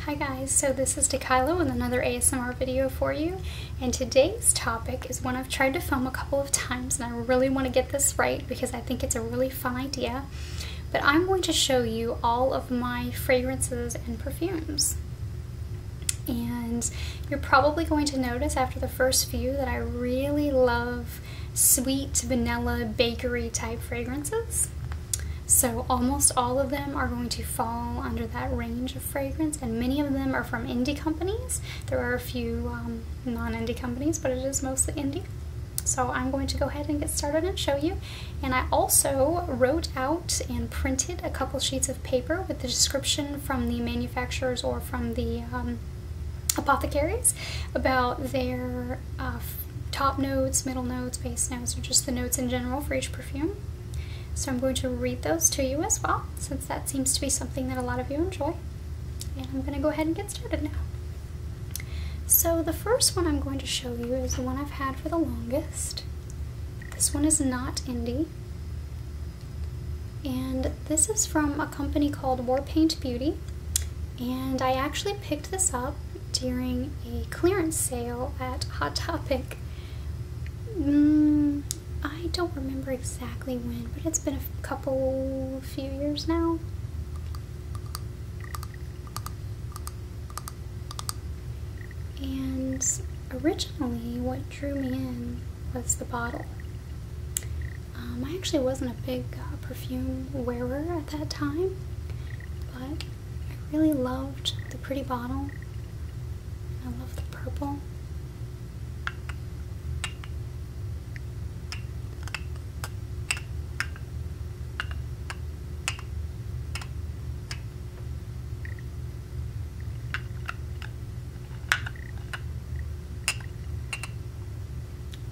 Hi guys, so this is Dekayla with another ASMR video for you and today's topic is one I've tried to film a couple of times and I really want to get this right because I think it's a really fun idea but I'm going to show you all of my fragrances and perfumes and you're probably going to notice after the first few that I really love sweet vanilla bakery type fragrances so almost all of them are going to fall under that range of fragrance, and many of them are from indie companies. There are a few um, non-indie companies, but it is mostly indie. So I'm going to go ahead and get started and show you. And I also wrote out and printed a couple sheets of paper with the description from the manufacturers or from the um, apothecaries about their uh, top notes, middle notes, base notes, or just the notes in general for each perfume. So I'm going to read those to you as well, since that seems to be something that a lot of you enjoy. And I'm going to go ahead and get started now. So the first one I'm going to show you is the one I've had for the longest. This one is not indie. And this is from a company called Warpaint Beauty. And I actually picked this up during a clearance sale at Hot Topic. Mm, I don't remember exactly when, but it's been a couple, few years now. And originally, what drew me in was the bottle. Um, I actually wasn't a big uh, perfume wearer at that time, but I really loved the pretty bottle. I love the purple.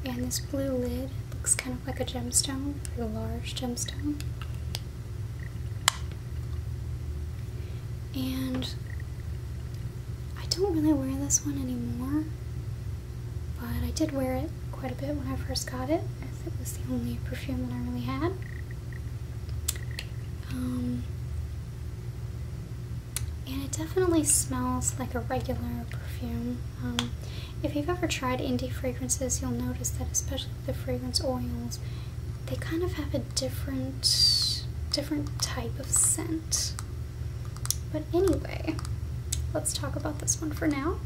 And this blue lid looks kind of like a gemstone, like a large gemstone. And I don't really wear this one anymore, but I did wear it quite a bit when I first got it, as it was the only perfume that I really had. Um, and it definitely smells like a regular perfume. Um, if you've ever tried indie fragrances, you'll notice that especially the fragrance oils, they kind of have a different different type of scent. But anyway, let's talk about this one for now.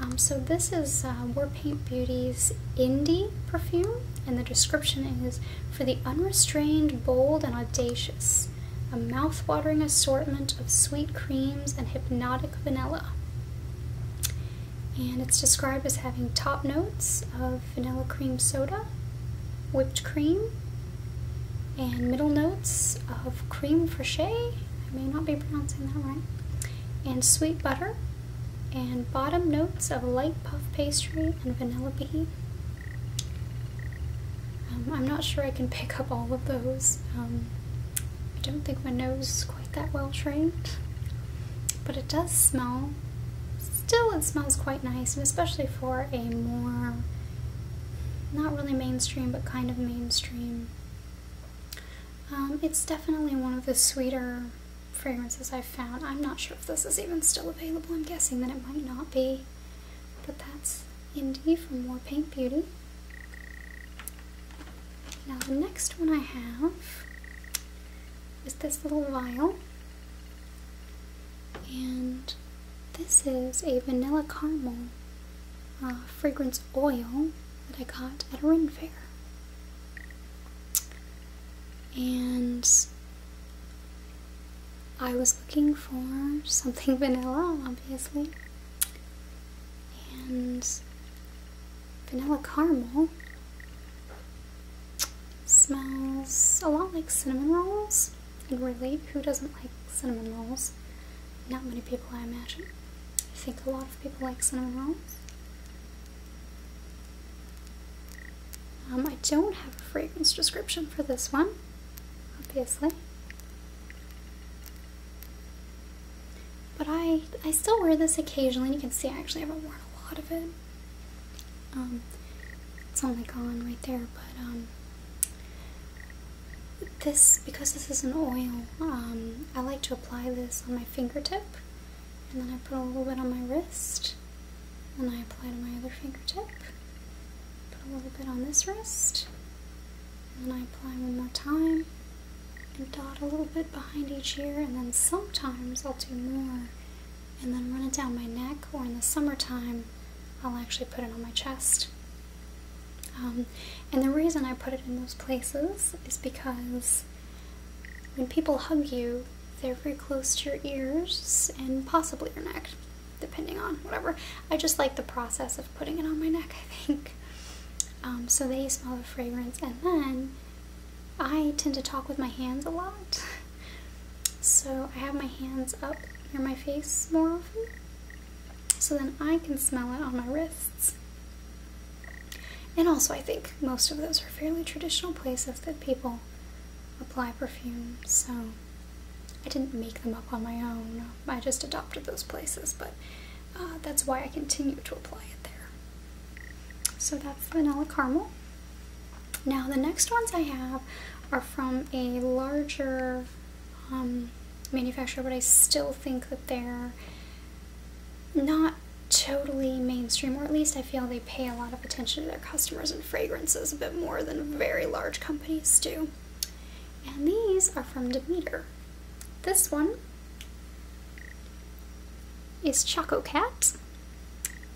Um, so this is uh, Warpaint Beauty's Indie perfume, and the description is for the unrestrained, bold, and audacious, a mouth-watering assortment of sweet creams and hypnotic vanilla and it's described as having top notes of vanilla cream soda, whipped cream, and middle notes of cream fraiche, I may not be pronouncing that right, and sweet butter, and bottom notes of light puff pastry and vanilla bean. Um, I'm not sure I can pick up all of those. Um, I don't think my nose quite that well trained, but it does smell. Still, it smells quite nice, and especially for a more not really mainstream, but kind of mainstream. Um, it's definitely one of the sweeter fragrances I've found. I'm not sure if this is even still available. I'm guessing that it might not be, but that's indie from More Paint Beauty. Now the next one I have is this little vial. And this is a vanilla caramel uh, fragrance oil that I got at a Ren fair. And I was looking for something vanilla, obviously. And vanilla caramel. Smells a lot like cinnamon rolls. And really, who doesn't like cinnamon rolls? Not many people, I imagine. I think a lot of people like cinnamon rolls. Um, I don't have a fragrance description for this one, obviously. But I, I still wear this occasionally, and you can see I actually haven't worn a lot of it. Um, it's only gone right there, but um, this, because this is an oil, um, I like to apply this on my fingertip, and then I put a little bit on my wrist, and I apply to my other fingertip, put a little bit on this wrist, and then I apply one more time, and dot a little bit behind each ear and then sometimes I'll do more and then run it down my neck or in the summertime I'll actually put it on my chest. Um, and the reason I put it in those places is because when people hug you, they're very close to your ears and possibly your neck, depending on whatever. I just like the process of putting it on my neck, I think. Um, so they smell the fragrance and then I tend to talk with my hands a lot so I have my hands up near my face more often so then I can smell it on my wrists and also I think most of those are fairly traditional places that people apply perfume so I didn't make them up on my own I just adopted those places but uh, that's why I continue to apply it there. So that's vanilla caramel. Now the next ones I have are from a larger um, manufacturer, but I still think that they're not totally mainstream, or at least I feel they pay a lot of attention to their customers and fragrances a bit more than very large companies do. And these are from Demeter. This one is Choco Cat.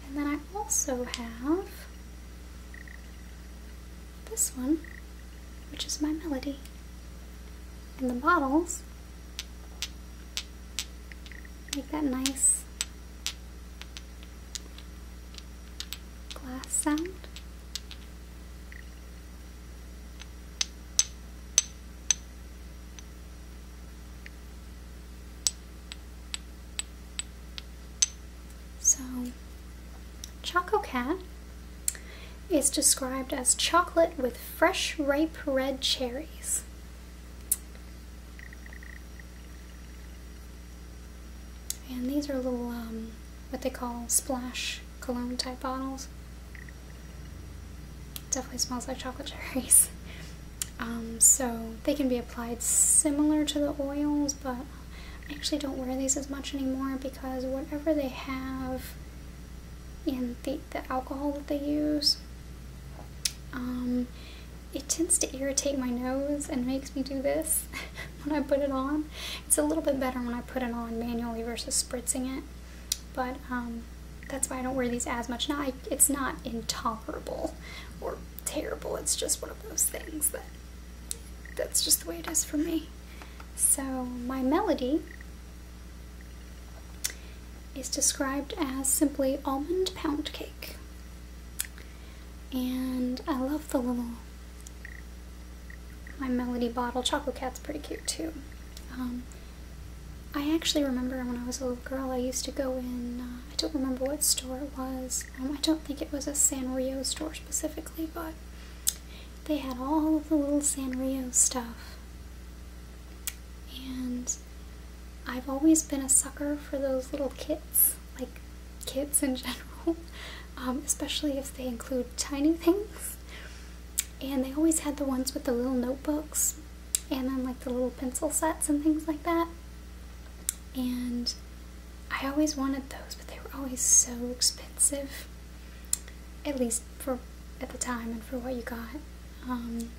And then I also have this one, which is my Melody. And the bottles make that nice glass sound. So, Choco Cat is described as chocolate with fresh ripe red cherries. And these are little, um, what they call splash cologne type bottles. Definitely smells like chocolate cherries. Um, so they can be applied similar to the oils, but I actually don't wear these as much anymore because whatever they have in the, alcohol that they use, um, it tends to irritate my nose and makes me do this when I put it on. It's a little bit better when I put it on manually versus spritzing it. But um, that's why I don't wear these as much. Now, it's not intolerable or terrible. It's just one of those things that that's just the way it is for me. So my melody is described as simply almond pound cake. And I love the little, my melody bottle. Chocolate Cat's pretty cute too. Um, I actually remember when I was a little girl, I used to go in, uh, I don't remember what store it was. Um, I don't think it was a Sanrio store specifically, but they had all of the little Sanrio stuff. And I've always been a sucker for those little kits, like kits in general, um, especially if they include tiny things. And they always had the ones with the little notebooks and then like the little pencil sets and things like that. And I always wanted those, but they were always so expensive, at least for at the time and for what you got. Um,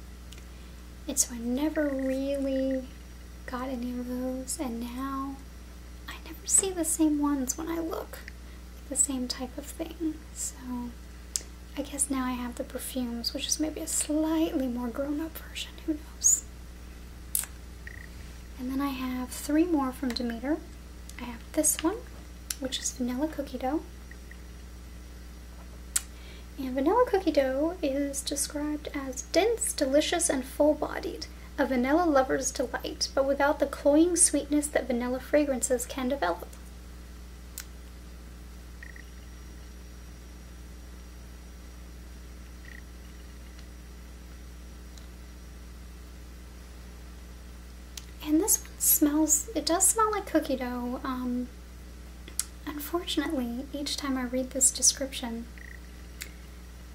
and so I never really got any of those, and now I never see the same ones when I look, the same type of thing. So I guess now I have the perfumes, which is maybe a slightly more grown up version, who knows. And then I have three more from Demeter. I have this one, which is vanilla cookie dough. And vanilla cookie dough is described as dense, delicious, and full-bodied, a vanilla lover's delight, but without the cloying sweetness that vanilla fragrances can develop. And this one smells, it does smell like cookie dough. Um, unfortunately, each time I read this description,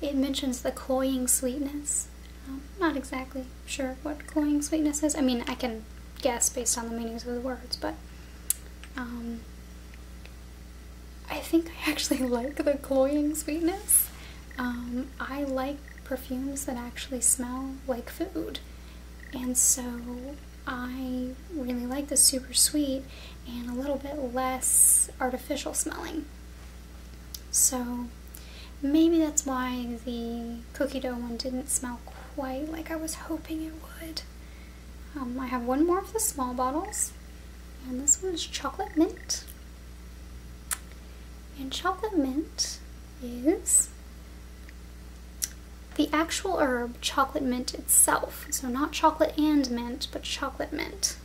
it mentions the cloying sweetness. not exactly sure what cloying sweetness is. I mean, I can guess based on the meanings of the words, but um, I think I actually like the cloying sweetness. Um, I like perfumes that actually smell like food, and so I really like the super sweet and a little bit less artificial smelling. So maybe that's why the cookie dough one didn't smell quite like I was hoping it would. Um, I have one more of the small bottles, and this one is chocolate mint. And chocolate mint is the actual herb chocolate mint itself. So, not chocolate and mint, but chocolate mint.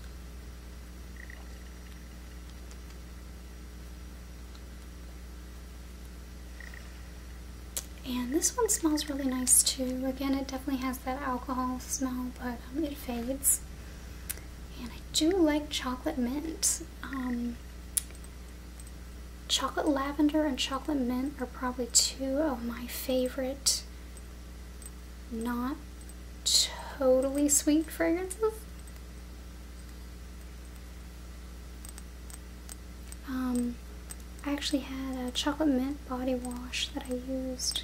And this one smells really nice too. Again, it definitely has that alcohol smell, but um, it fades. And I do like chocolate mint. Um, chocolate lavender and chocolate mint are probably two of my favorite, not totally sweet fragrances. Um, I actually had a chocolate mint body wash that I used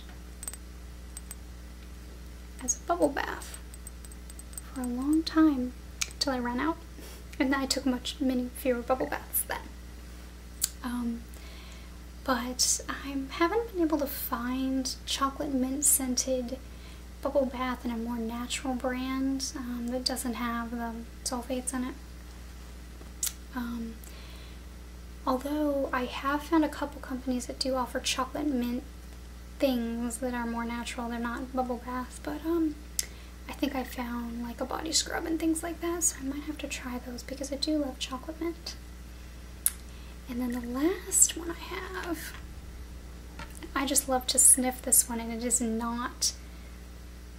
as a bubble bath for a long time until I ran out. And I took much many fewer bubble baths then. Um, but I haven't been able to find chocolate mint scented bubble bath in a more natural brand that um, doesn't have the sulfates in it. Um, although I have found a couple companies that do offer chocolate mint things that are more natural. They're not bubble bath, but um, I think I found like a body scrub and things like that, so I might have to try those because I do love chocolate mint. And then the last one I have, I just love to sniff this one, and it is not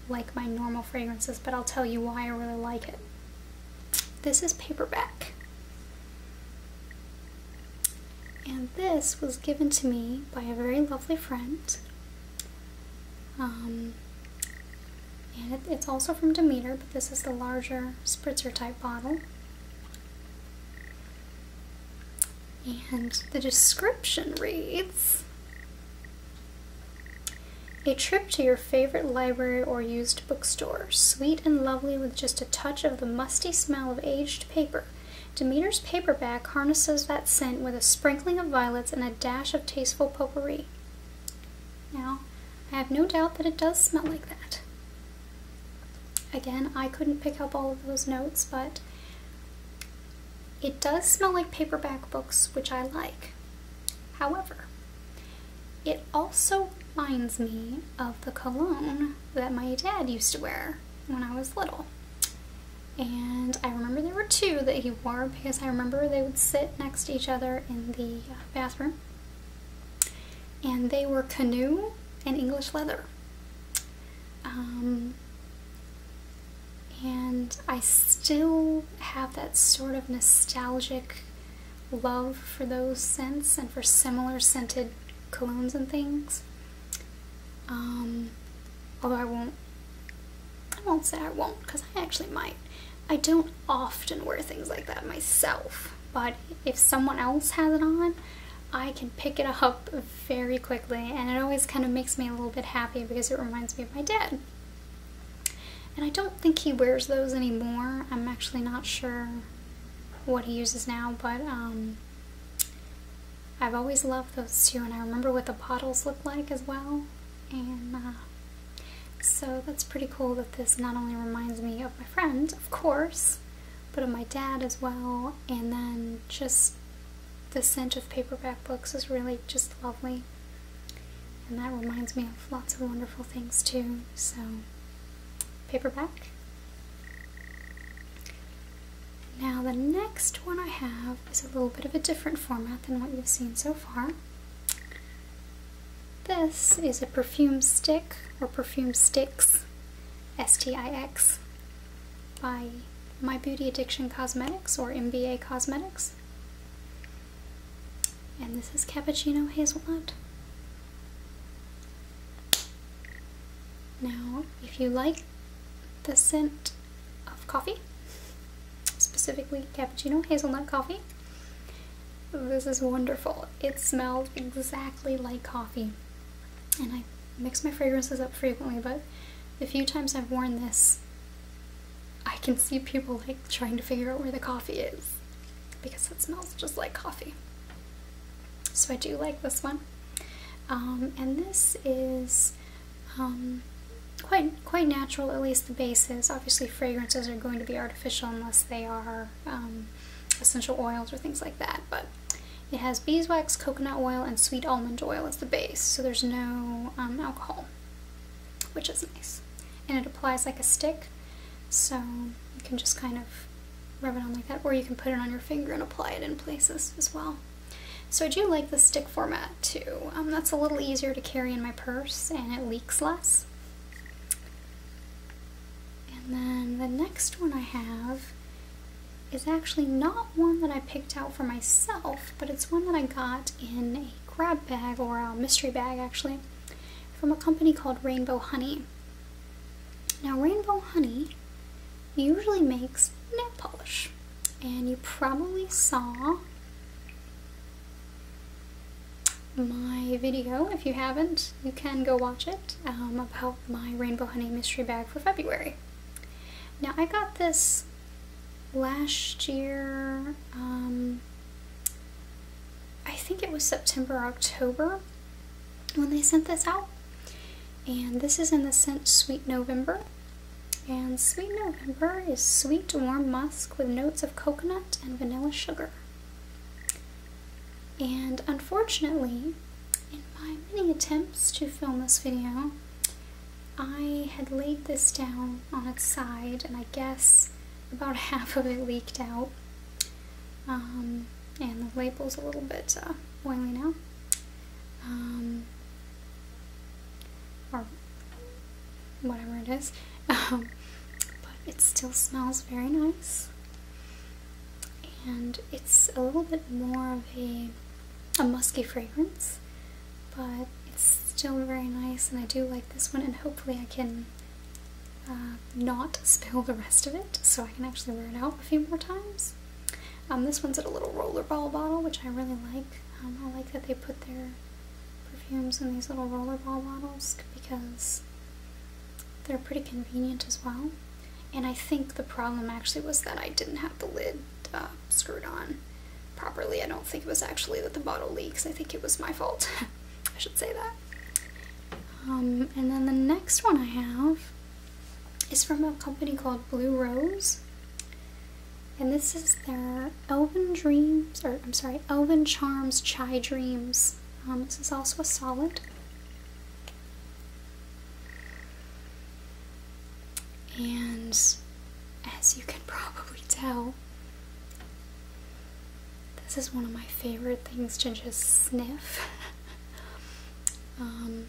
like my normal fragrances, but I'll tell you why I really like it. This is Paperback. And this was given to me by a very lovely friend. Um, and it's also from Demeter, but this is the larger spritzer type bottle. And the description reads a trip to your favorite library or used bookstore, sweet and lovely with just a touch of the musty smell of aged paper. Demeter's paperback harnesses that scent with a sprinkling of violets and a dash of tasteful potpourri. Now, I have no doubt that it does smell like that. Again, I couldn't pick up all of those notes, but it does smell like paperback books, which I like. However, it also reminds me of the cologne that my dad used to wear when I was little. And I remember there were two that he wore because I remember they would sit next to each other in the uh, bathroom. And they were canoe and English leather. Um, and I still have that sort of nostalgic love for those scents and for similar scented colognes and things. Um, although I won't, I won't say I won't because I actually might. I don't often wear things like that myself, but if someone else has it on, I can pick it up very quickly and it always kind of makes me a little bit happy because it reminds me my dad. And I don't think he wears those anymore. I'm actually not sure what he uses now, but um, I've always loved those too. and I remember what the bottles looked like as well. And uh, so that's pretty cool that this not only reminds me of my friend, of course, but of my dad as well, and then just the scent of paperback books is really just lovely. And that reminds me of lots of wonderful things too. So, paperback. Now the next one I have is a little bit of a different format than what you've seen so far. This is a perfume stick or perfume sticks, S-T-I-X by My Beauty Addiction Cosmetics or MBA Cosmetics. And this is Cappuccino Hazelnut. Now, if you like the scent of coffee, specifically cappuccino hazelnut coffee, this is wonderful. It smelled exactly like coffee. And I mix my fragrances up frequently, but the few times I've worn this, I can see people like trying to figure out where the coffee is because it smells just like coffee. So I do like this one. Um, and this is um, quite quite natural, at least the base is Obviously fragrances are going to be artificial unless they are um, essential oils or things like that, but it has beeswax, coconut oil, and sweet almond oil as the base, so there's no alcohol which is nice. And it applies like a stick, so you can just kind of rub it on like that, or you can put it on your finger and apply it in places as well. So I do like the stick format too. Um, that's a little easier to carry in my purse and it leaks less. And then the next one I have is actually not one that I picked out for myself, but it's one that I got in a grab bag or a mystery bag actually from a company called Rainbow Honey. Now, Rainbow Honey usually makes nail polish, and you probably saw my video. If you haven't, you can go watch it um, about my Rainbow Honey mystery bag for February. Now, I got this last year, um, I think it was September, October when they sent this out. And this is in the scent Sweet November. And Sweet November is sweet warm musk with notes of coconut and vanilla sugar. And unfortunately, in my many attempts to film this video, I had laid this down on its side, and I guess about half of it leaked out. Um, and the label's a little bit uh, oily now. Um, or whatever it is. Um, but it still smells very nice. And it's a little bit more of a, a musky fragrance but it's still very nice and I do like this one and hopefully I can uh, not spill the rest of it so I can actually wear it out a few more times. Um, this one's at a little rollerball bottle which I really like. Um, I like that they put their perfumes in these little rollerball bottles because they're pretty convenient as well. And I think the problem actually was that I didn't have the lid uh, screwed on properly. I don't think it was actually that the bottle leaks. I think it was my fault. I should say that. Um, and then the next one I have is from a company called Blue Rose. And this is their Elven Dreams, or I'm sorry, Elven Charms Chai Dreams. Um, this is also a solid. And as you can probably tell, this is one of my favorite things to just sniff. Um,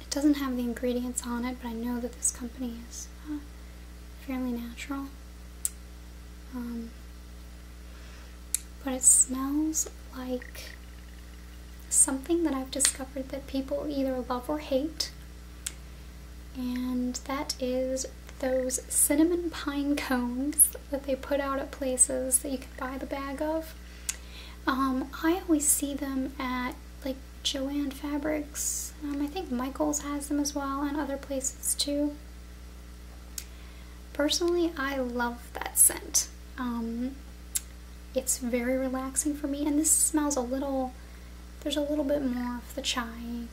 it doesn't have the ingredients on it, but I know that this company is uh, fairly natural. Um, but it smells like something that I've discovered that people either love or hate. And that is those cinnamon pine cones that they put out at places that you can buy the bag of. Um, I always see them at like Joann Fabrics. Um, I think Michaels has them as well and other places too. Personally, I love that scent. Um, it's very relaxing for me and this smells a little there's a little bit more of the chai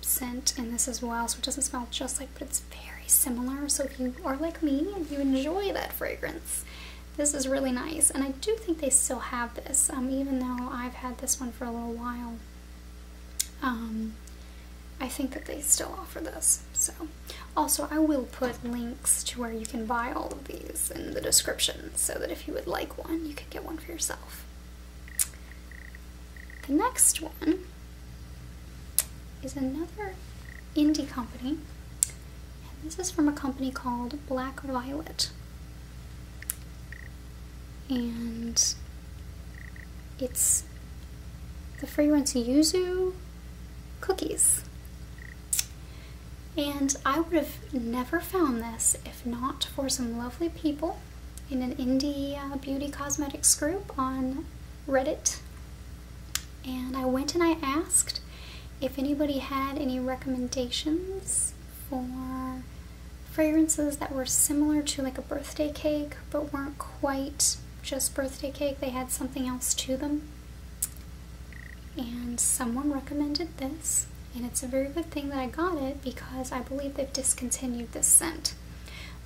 scent in this as well, so it doesn't smell just like, but it's very similar. So if you are like me and you enjoy that fragrance, this is really nice. And I do think they still have this, um, even though I've had this one for a little while. Um, I think that they still offer this. So, also I will put links to where you can buy all of these in the description so that if you would like one, you could get one for yourself. The next one is another indie company. this is from a company called Black Violet. And it's the fragrance Yuzu cookies. And I would have never found this if not for some lovely people in an indie uh, beauty cosmetics group on Reddit. And I went and I asked if anybody had any recommendations for fragrances that were similar to like a birthday cake but weren't quite just birthday cake. They had something else to them and someone recommended this. And it's a very good thing that I got it because I believe they've discontinued this scent.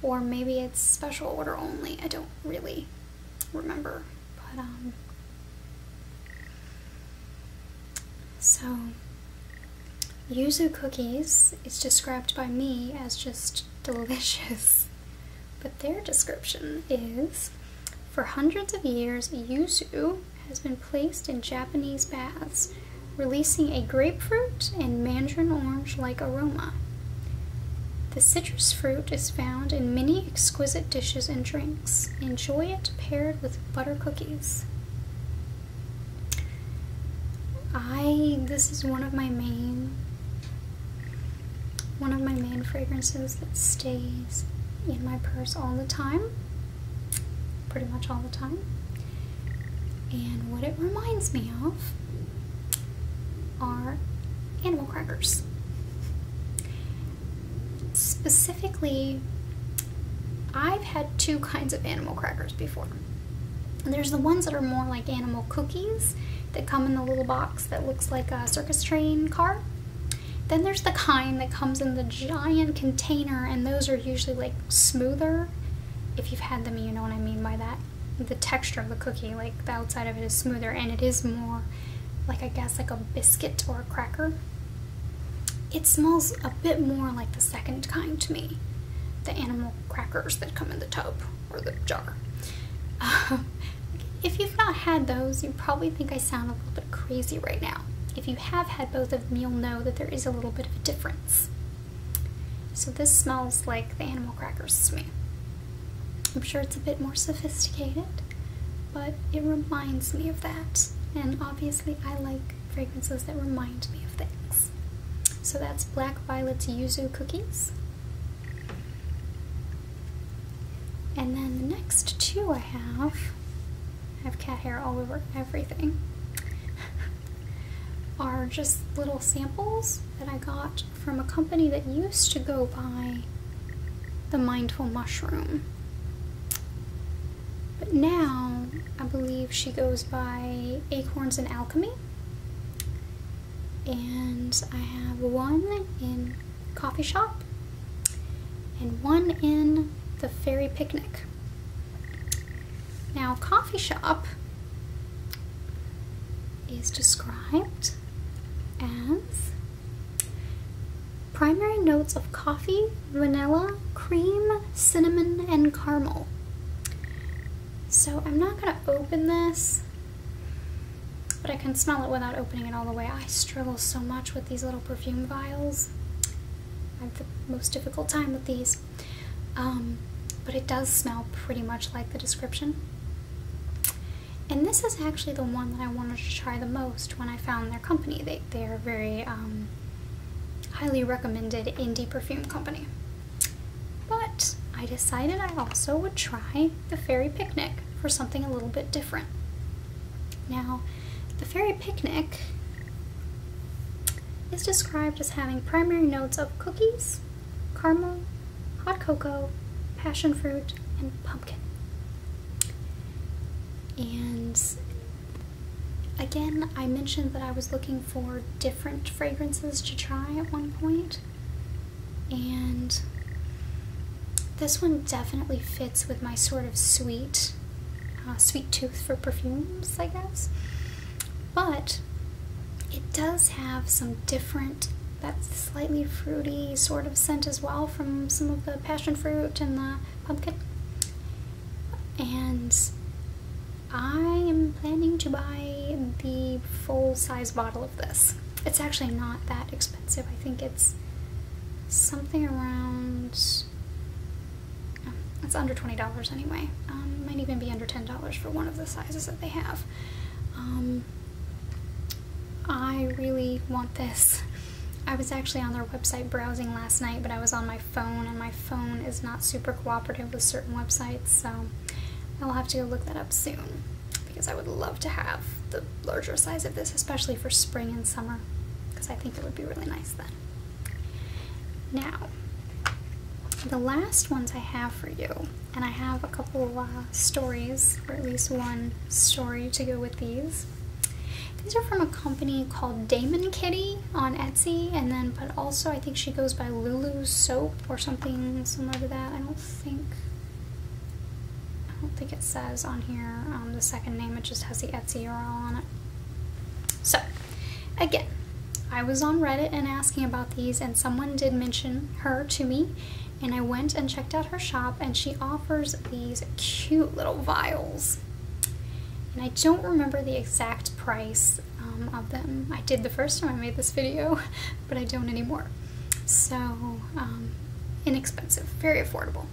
Or maybe it's special order only. I don't really remember. But, um, so yuzu cookies is described by me as just delicious. But their description is for hundreds of years, yuzu has been placed in Japanese baths, releasing a grapefruit and mandarin orange-like aroma. The citrus fruit is found in many exquisite dishes and drinks. Enjoy it paired with butter cookies. I this is one of my main one of my main fragrances that stays in my purse all the time pretty much all the time. And what it reminds me of are animal crackers. Specifically, I've had two kinds of animal crackers before. There's the ones that are more like animal cookies that come in the little box that looks like a circus train car. Then there's the kind that comes in the giant container, and those are usually like smoother. If you've had them, you know what I mean by that. The texture of the cookie, like the outside of it is smoother, and it is more like I guess like a biscuit or a cracker. It smells a bit more like the second kind to me the animal crackers that come in the tub or the jar. if you've not had those, you probably think I sound a little bit crazy right now. If you have had both of them, you'll know that there is a little bit of a difference. So this smells like the animal crackers to me. I'm sure it's a bit more sophisticated, but it reminds me of that. And obviously I like fragrances that remind me of things. So that's Black Violet's Yuzu Cookies. And then the next two I have I have cat hair all over everything, are just little samples that I got from a company that used to go by the Mindful Mushroom. But now I believe she goes by Acorns and Alchemy. And I have one in coffee shop and one in the fairy picnic. Now, coffee shop is described as primary notes of coffee, vanilla, cream, cinnamon, and caramel. So I'm not going to open this, but I can smell it without opening it all the way. I struggle so much with these little perfume vials. I have the most difficult time with these. Um, but it does smell pretty much like the description. And this is actually the one that I wanted to try the most when I found their company. They, they are very um, highly recommended indie perfume company. But I decided I also would try the Fairy Picnic for something a little bit different. Now, the fairy picnic is described as having primary notes of cookies, caramel, hot cocoa, passion fruit, and pumpkin. And again, I mentioned that I was looking for different fragrances to try at one point, and this one definitely fits with my sort of sweet uh, sweet tooth for perfumes, I guess. But it does have some different, thats slightly fruity sort of scent as well from some of the passion fruit and the pumpkin. And I am planning to buy the full size bottle of this. It's actually not that expensive. I think it's something around it's under twenty dollars anyway. Um, might even be under ten dollars for one of the sizes that they have. Um, I really want this. I was actually on their website browsing last night, but I was on my phone, and my phone is not super cooperative with certain websites, so I'll have to go look that up soon because I would love to have the larger size of this, especially for spring and summer, because I think it would be really nice then. Now, the last ones I have for you, and I have a couple of uh, stories, or at least one story to go with these. These are from a company called Damon Kitty on Etsy, and then, but also I think she goes by Lulu Soap or something similar to that. I don't think, I don't think it says on here um, the second name. It just has the Etsy URL on it. So, again, I was on Reddit and asking about these, and someone did mention her to me. And I went and checked out her shop, and she offers these cute little vials. And I don't remember the exact price um, of them. I did the first time I made this video, but I don't anymore. So, um, inexpensive, very affordable.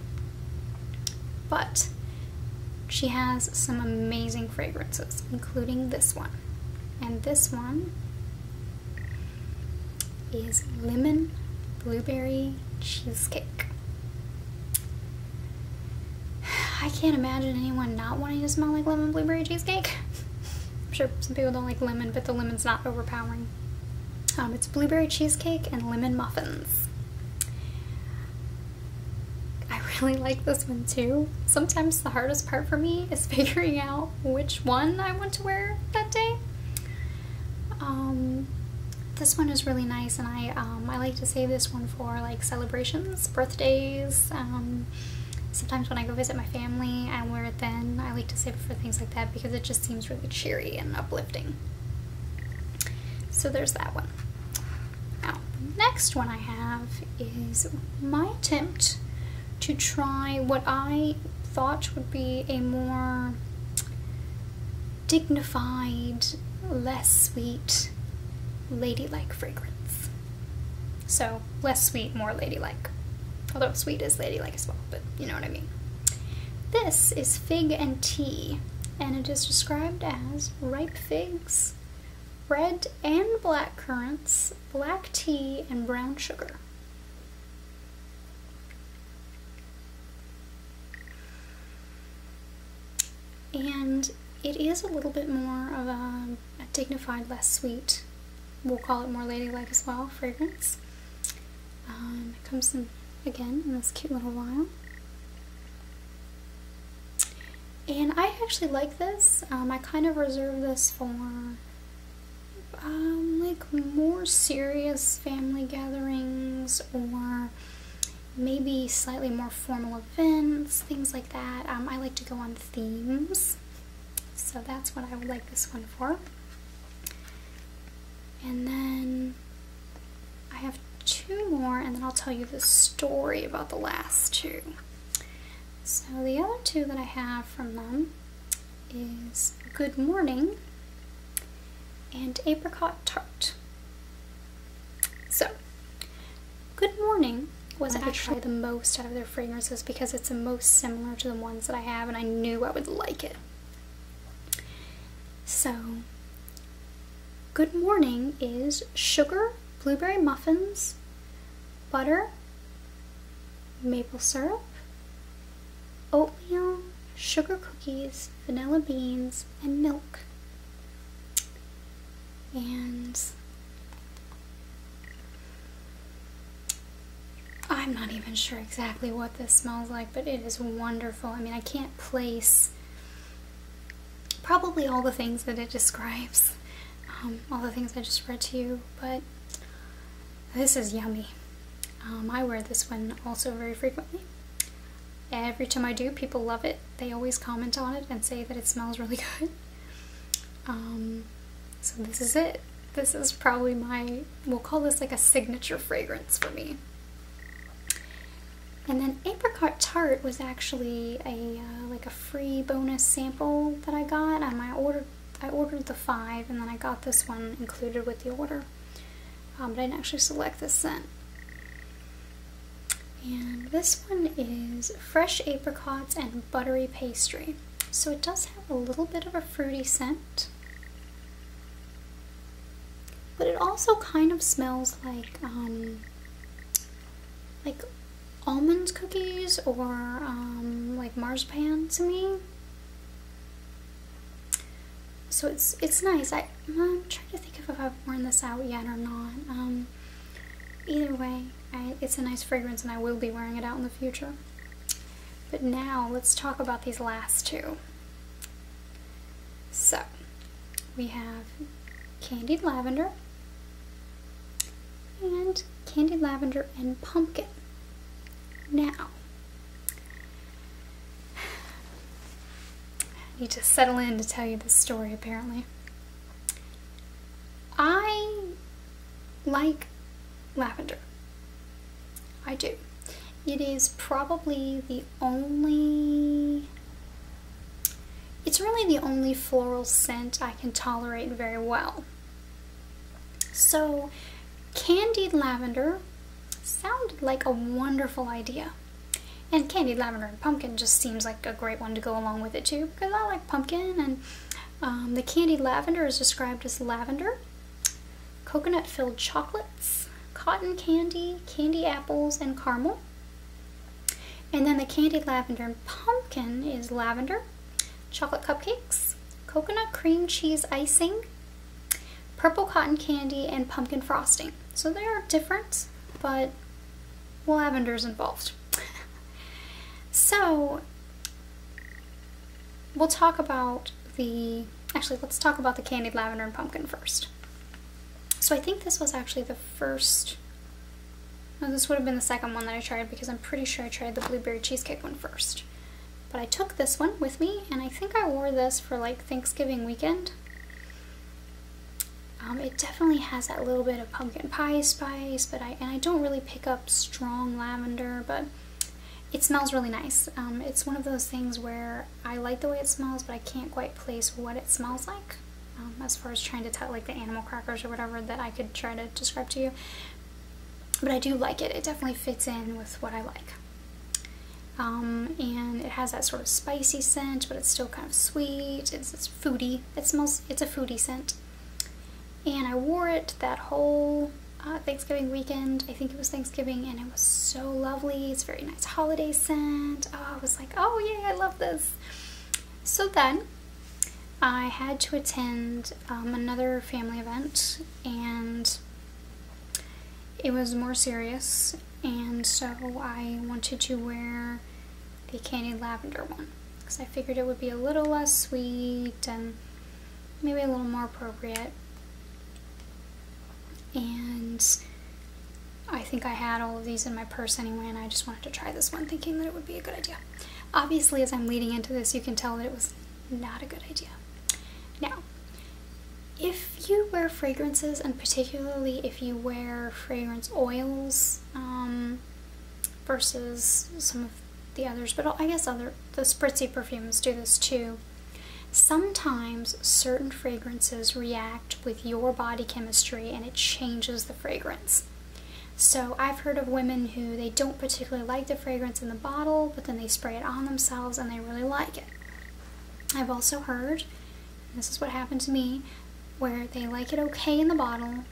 But she has some amazing fragrances, including this one. And this one is Lemon Blueberry Cheesecake. I can't imagine anyone not wanting to smell like lemon blueberry cheesecake. I'm sure some people don't like lemon, but the lemon's not overpowering. Um, it's blueberry cheesecake and lemon muffins. I really like this one too. Sometimes the hardest part for me is figuring out which one I want to wear that day. Um, this one is really nice and I, um, I like to save this one for like celebrations, birthdays, um, sometimes when I go visit my family I wear it then. I like to save it for things like that because it just seems really cheery and uplifting. So there's that one. Now, the next one I have is my attempt to try what I thought would be a more dignified, less sweet, ladylike fragrance. So, less sweet, more ladylike. Although sweet is ladylike as well, but you know what I mean. This is Fig and Tea, and it is described as ripe figs, red and black currants, black tea, and brown sugar. And it is a little bit more of a, dignified, less sweet, we'll call it more ladylike as well, fragrance. Um, it comes in, again, in this cute little vial. And I actually like this. Um, I kind of reserve this for um, like more serious family gatherings or maybe slightly more formal events, things like that. Um, I like to go on themes. So that's what I would like this one for. And then I have two more and then I'll tell you the story about the last two. So the other two that I have from them is Good Morning and Apricot Tart. So, Good Morning was actually the most out of their fragrances because it's the most similar to the ones that I have and I knew I would like it. So, Good morning is sugar, blueberry muffins, butter, maple syrup, oatmeal, sugar cookies, vanilla beans, and milk. And I'm not even sure exactly what this smells like, but it is wonderful. I mean, I can't place probably all the things that it describes, um, all the things I just read to you, but this is yummy. Um, I wear this one also very frequently. Every time I do, people love it. They always comment on it and say that it smells really good. Um, so this is it. This is probably my, we'll call this like a signature fragrance for me. And then apricot tart was actually a uh, like a free bonus sample that I got. Um, I ordered I ordered the five, and then I got this one included with the order. Um, but I didn't actually select the scent. And this one is fresh apricots and buttery pastry. So it does have a little bit of a fruity scent. But it also kind of smells like um, like almonds cookies or um, like marzipan to me. So it's it's nice. I, am trying to think if I've worn this out yet or not. Um, either way, it's a nice fragrance and I will be wearing it out in the future. But now let's talk about these last two. So we have candied lavender and candied lavender and pumpkin. Now, I need to settle in to tell you this story apparently. I like lavender. I do. It is probably the only it's really the only floral scent I can tolerate very well. So, candied lavender sounded like a wonderful idea. And candied lavender and pumpkin just seems like a great one to go along with it too, because I like pumpkin, and um, the candied lavender is described as lavender, coconut filled chocolates, cotton candy, candy apples, and caramel. And then the candied lavender and pumpkin is lavender, chocolate cupcakes, coconut cream cheese icing, purple cotton candy, and pumpkin frosting. So they are different, but lavender is involved. so we'll talk about the, actually let's talk about the candied lavender and pumpkin first. So I think this was actually the first, this would have been the second one that I tried because I'm pretty sure I tried the blueberry cheesecake one first. But I took this one with me and I think I wore this for like Thanksgiving weekend. Um, it definitely has that little bit of pumpkin pie spice, but I, and I don't really pick up strong lavender, but it smells really nice. Um, it's one of those things where I like the way it smells, but I can't quite place what it smells like. Um, as far as trying to tell, like the animal crackers or whatever that I could try to describe to you. But I do like it. It definitely fits in with what I like. Um, and it has that sort of spicy scent, but it's still kind of sweet. It's, it's foodie. It smells, it's a foodie scent. And I wore it that whole uh, Thanksgiving weekend. I think it was Thanksgiving, and it was so lovely. It's very nice holiday scent. Oh, I was like, oh yeah, I love this. So then I had to attend um, another family event and it was more serious and so I wanted to wear the candied lavender one because I figured it would be a little less sweet and maybe a little more appropriate. And I think I had all of these in my purse anyway, and I just wanted to try this one thinking that it would be a good idea. Obviously, as I'm leading into this, you can tell that it was not a good idea. Now, if you wear fragrances, and particularly if you wear fragrance oils um, versus some of the others, but I guess other the spritzy perfumes do this too, sometimes certain fragrances react with your body chemistry and it changes the fragrance. So I've heard of women who they don't particularly like the fragrance in the bottle, but then they spray it on themselves and they really like it. I've also heard, this is what happened to me, where they like it okay in the bottle,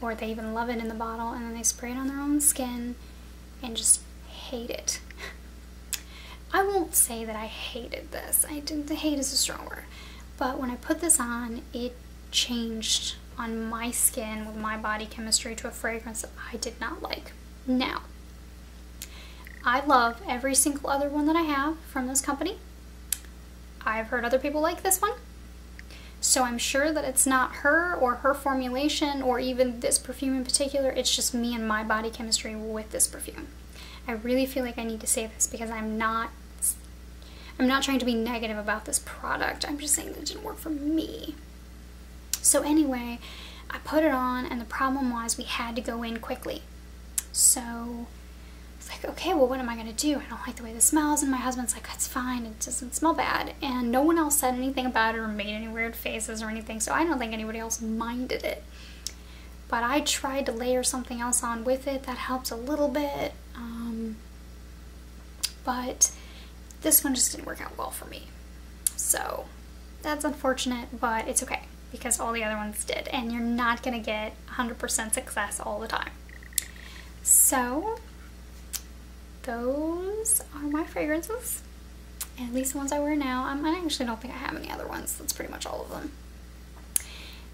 or they even love it in the bottle, and then they spray it on their own skin and just hate it. I won't say that I hated this. I didn't hate is a strong word. But when I put this on, it changed on my skin with my body chemistry to a fragrance that I did not like. Now, I love every single other one that I have from this company. I've heard other people like this one. So I'm sure that it's not her or her formulation or even this perfume in particular. It's just me and my body chemistry with this perfume. I really feel like I need to say this because I'm not I'm not trying to be negative about this product. I'm just saying that it didn't work for me. So anyway, I put it on and the problem was we had to go in quickly. So it's like, okay, well, what am I going to do? I don't like the way this smells. And my husband's like, that's fine. It doesn't smell bad. And no one else said anything about it or made any weird faces or anything. So I don't think anybody else minded it but I tried to layer something else on with it that helps a little bit um, but this one just didn't work out well for me so that's unfortunate but it's okay because all the other ones did and you're not gonna get 100% success all the time so those are my fragrances at least the ones I wear now. I actually don't think I have any other ones. That's pretty much all of them.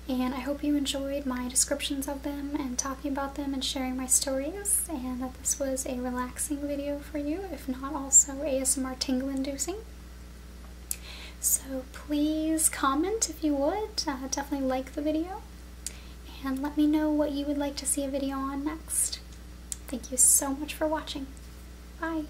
And I hope you enjoyed my descriptions of them and talking about them and sharing my stories, and that this was a relaxing video for you, if not also ASMR tingle inducing. So please comment if you would, uh, definitely like the video, and let me know what you would like to see a video on next. Thank you so much for watching. Bye!